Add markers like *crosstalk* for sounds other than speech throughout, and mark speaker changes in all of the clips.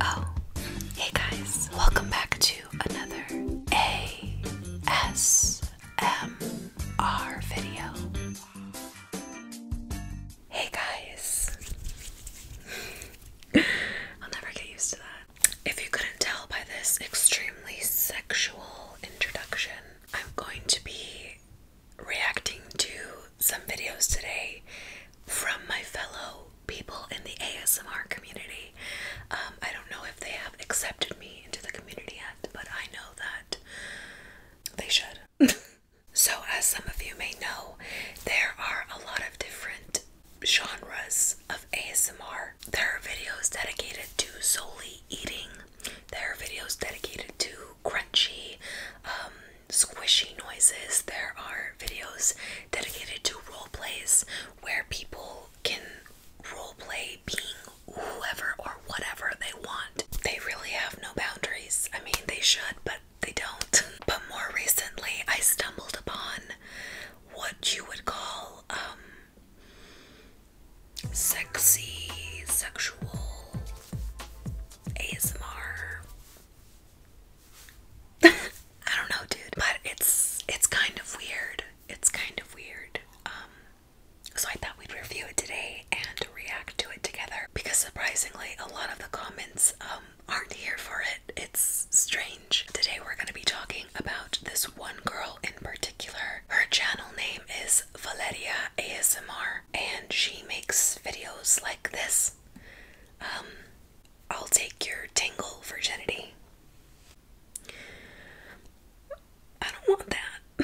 Speaker 1: Oh, hey guys, welcome back to another ASMR video. Hey guys, I'll never get used to that. If you couldn't tell by this extremely sexual introduction, I'm going to be reacting to some videos today from my fellow people in the ASMR community. Um, I don't know if they have accepted me into the community yet, but I know that they should. *laughs* so, as some of you may know, there are a lot of different genres of ASMR. There are videos dedicated to solely eating, there are videos dedicated to crunchy, um, squishy noises. There are videos dedicated to role plays where people can role play being whoever or whatever they want. They really have no boundaries. I mean, they should, but they don't. *laughs* But more recently, I stumbled upon what you would call um, sexy sexual ASMR I don't know, dude. But it's it's kind of weird. It's kind of weird. Um, so I thought we'd review it today and react to it together because surprisingly a lot of the comments um, aren't here for it. It's strange. Today we're going to be talking about this one girl in particular. Her channel name is Valeria ASMR and she makes videos like this. Um, I'll take your tingle virginity. I don't want that. *laughs*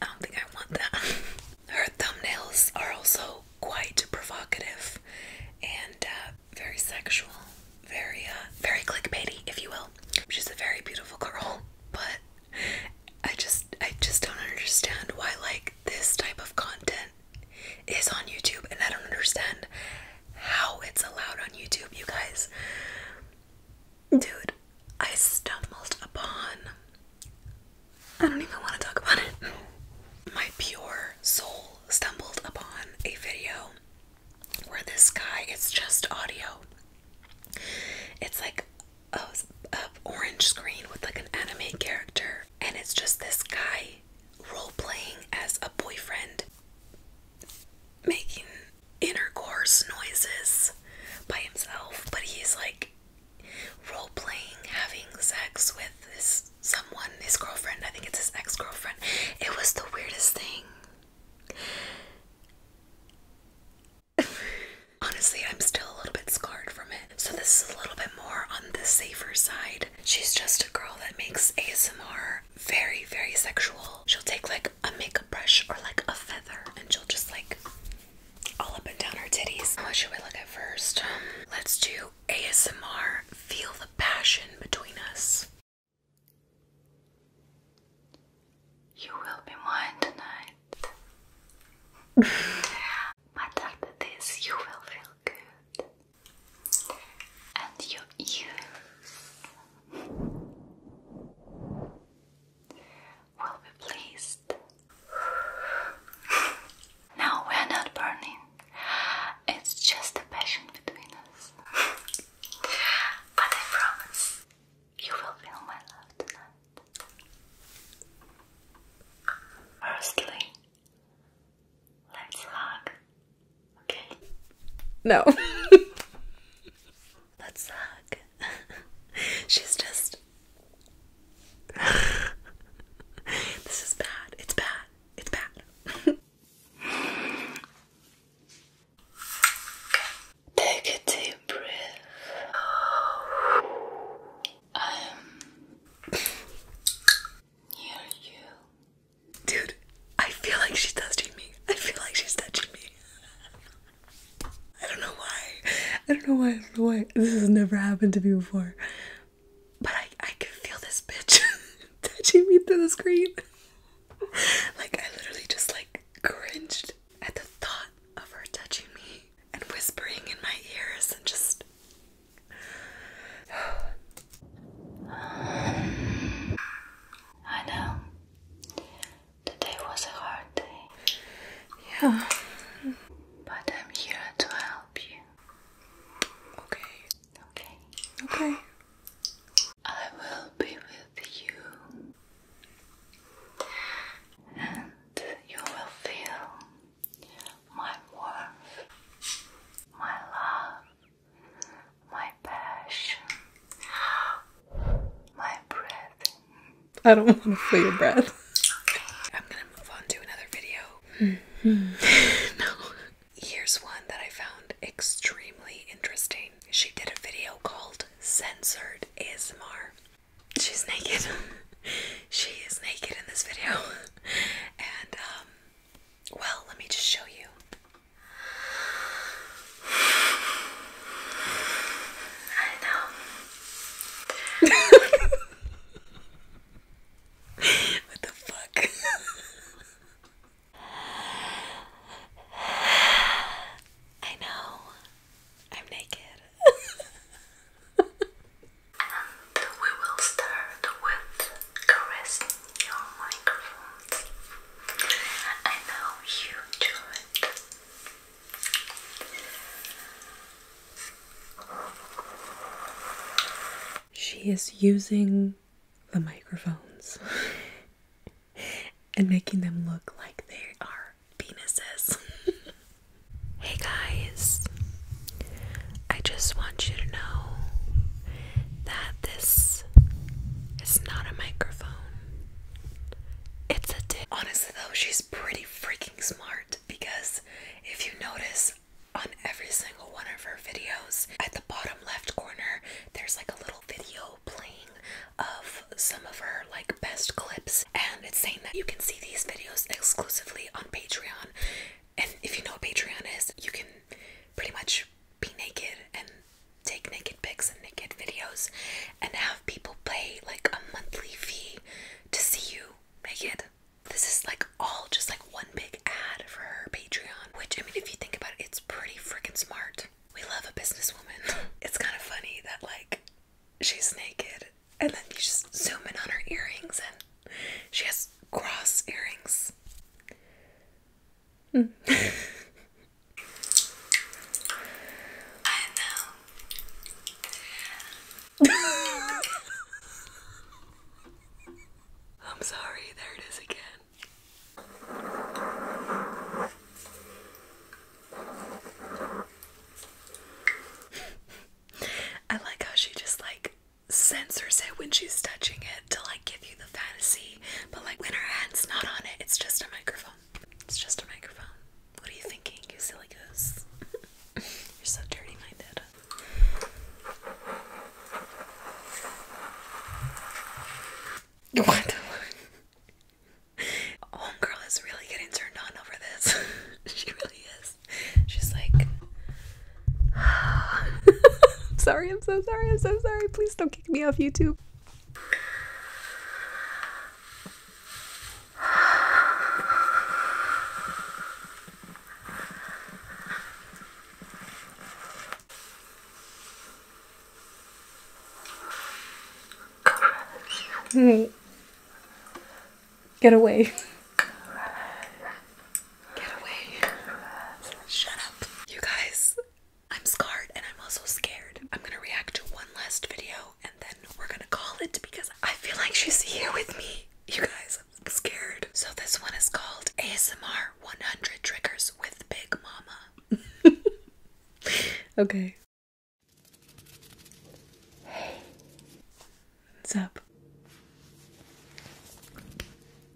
Speaker 1: I don't think I want that. Her thumbnails are also quite provocative and uh, very sexual, very uh, very clickbaity, if you will. She's a very beautiful girl, but I just I just don't understand why like this type of content is on YouTube, and I don't understand how it's allowed on YouTube, you guys. Dude, I stumbled upon. I don't even want to talk about it. My pure soul stumbled upon a video where this guy, it's just audio. It's like a orange screen with like an anime character, and it's just this guy role playing as a boyfriend, making intercourse noises by himself, but he's like role playing having sex with this someone, his girlfriend. I think it's his ex girlfriend. It was the weirdest thing. *laughs* Honestly, I'm still a little bit scarred from it. So, this is a little bit more on the safer side She's just a girl that makes ASMR very, very sexual. She'll take like a makeup brush or like a feather and she'll just like all up and down her titties. What should we look at first? Um, let's do ASMR. Feel the passion between us. You will be mine tonight. *laughs* after this, you will feel good and your ears will be pleased. No, we are not burning. It's just a passion between us. but I promise you will feel my love tonight. Firstly, Let's hug. Okay? No. *laughs* Let's hug. *laughs* She's just. *laughs* this is bad. It's bad. It's bad. Take a deep breath. *sighs* Um. Dude, I feel like she's touching me. I feel like she's touching me. *laughs* don't know why. I don't know why. I don't know why. This has never happened to me before. But I, I can feel this bitch *laughs* touching me through the screen. *laughs* like, I literally just like cringed at the thought of her touching me and whispering in my ears and just I know. Today was a hard day. Yeah. But I'm here to help you. Okay. Okay. Okay. I will be with you. And you will feel my warmth, my love, my passion, my breath. I don't want to feel your breath. I'm gonna move on to another video. Mm-hmm. *laughs* no. Here's one that I found extremely interesting. She did a video called Censored ASMR. She's naked. *laughs* she is naked in this video. *laughs* And um well, let me just show you. I know. *laughs* what the fuck? I know. I'm naked. *laughs* and we will start with caressing your microphones. I know you enjoy it. She is using the microphones and making them look like they are penises. *laughs* hey guys, I just want you to know that this is not a microphone. It's a tip. Honestly, though, she's pretty freaking smart because if you notice on every single one of her videos, at the bottom left corner, there's like a little video playing of some of her like best clips, and it's saying that you can see these videos exclusively on Patreon. And if you know what Patreon is, you can pretty much be naked and take naked pics and naked videos and have people pay like a monthly fee to see you naked. This is like all just like one big ad for her Patreon, which I mean, if you think about it, it's pretty freaking smart. We love a businesswoman. *laughs* it's kind of funny that like she's naked and then you just zoom in on her earrings and she has cross earrings. Mm. *laughs* *laughs* I'm sorry, there it is again. *laughs* I like how she just like Sensors say when she's touching it to like give you the fantasy, but like when her hand's not on it, it's just a microphone. It's just a microphone. What are you thinking, you silly goose? *laughs* You're so dirty minded. What the *laughs* Homegirl is really getting turned on over this. *laughs* she really is. She's like, I'm *sighs* sorry, I'm so sorry, I'm so sorry. Please don't kick me off YouTube. *sighs* Get away. Get away. Shut up. You guys, I'm scarred and I'm also scared. I'm gonna react to one last video and then we're gonna call it because I feel like she's here with me. You guys, I'm scared. So this one is called ASMR 100 Triggers with Big Mama. *laughs* okay. What's up?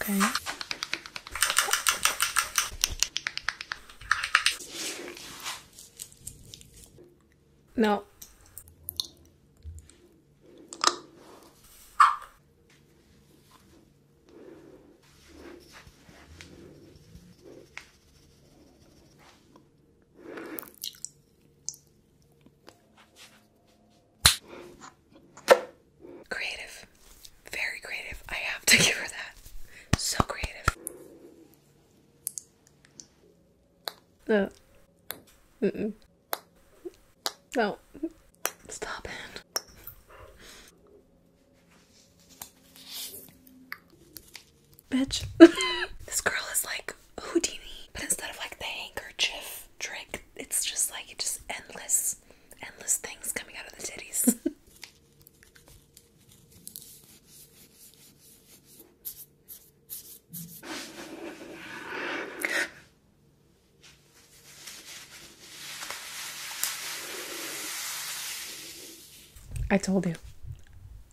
Speaker 1: Okay. No. Creative. Very creative. I have to *laughs* give her that. So creative. No. Uh, mm -mm. No. Stop it. Bitch. *laughs* this girl is like Houdini, but instead of like the handkerchief trick. It's just like just endless, endless things coming out of the titties. *laughs* I told you.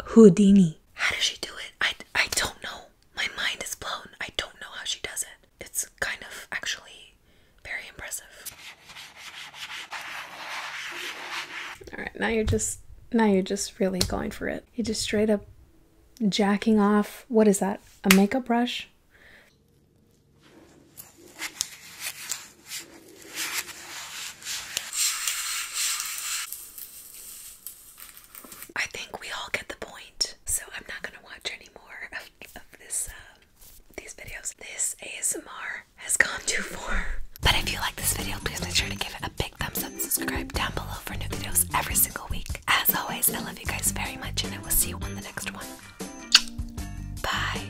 Speaker 1: Houdini. How does she do it? I, I don't know. My mind is blown. I don't know how she does it it's kind of actually very impressive. Alright, now you're just now you're just really going for it. you just straight up jacking off what is that? A makeup brush? I think we all get the point, so I'm not gonna watch any more of, um, these videos. This ASMR has gone too far. But if you like this video, please make sure to give it a big thumbs up subscribe down below for new videos every single week. As always, I love you guys very much and I will see you on the next one. Bye.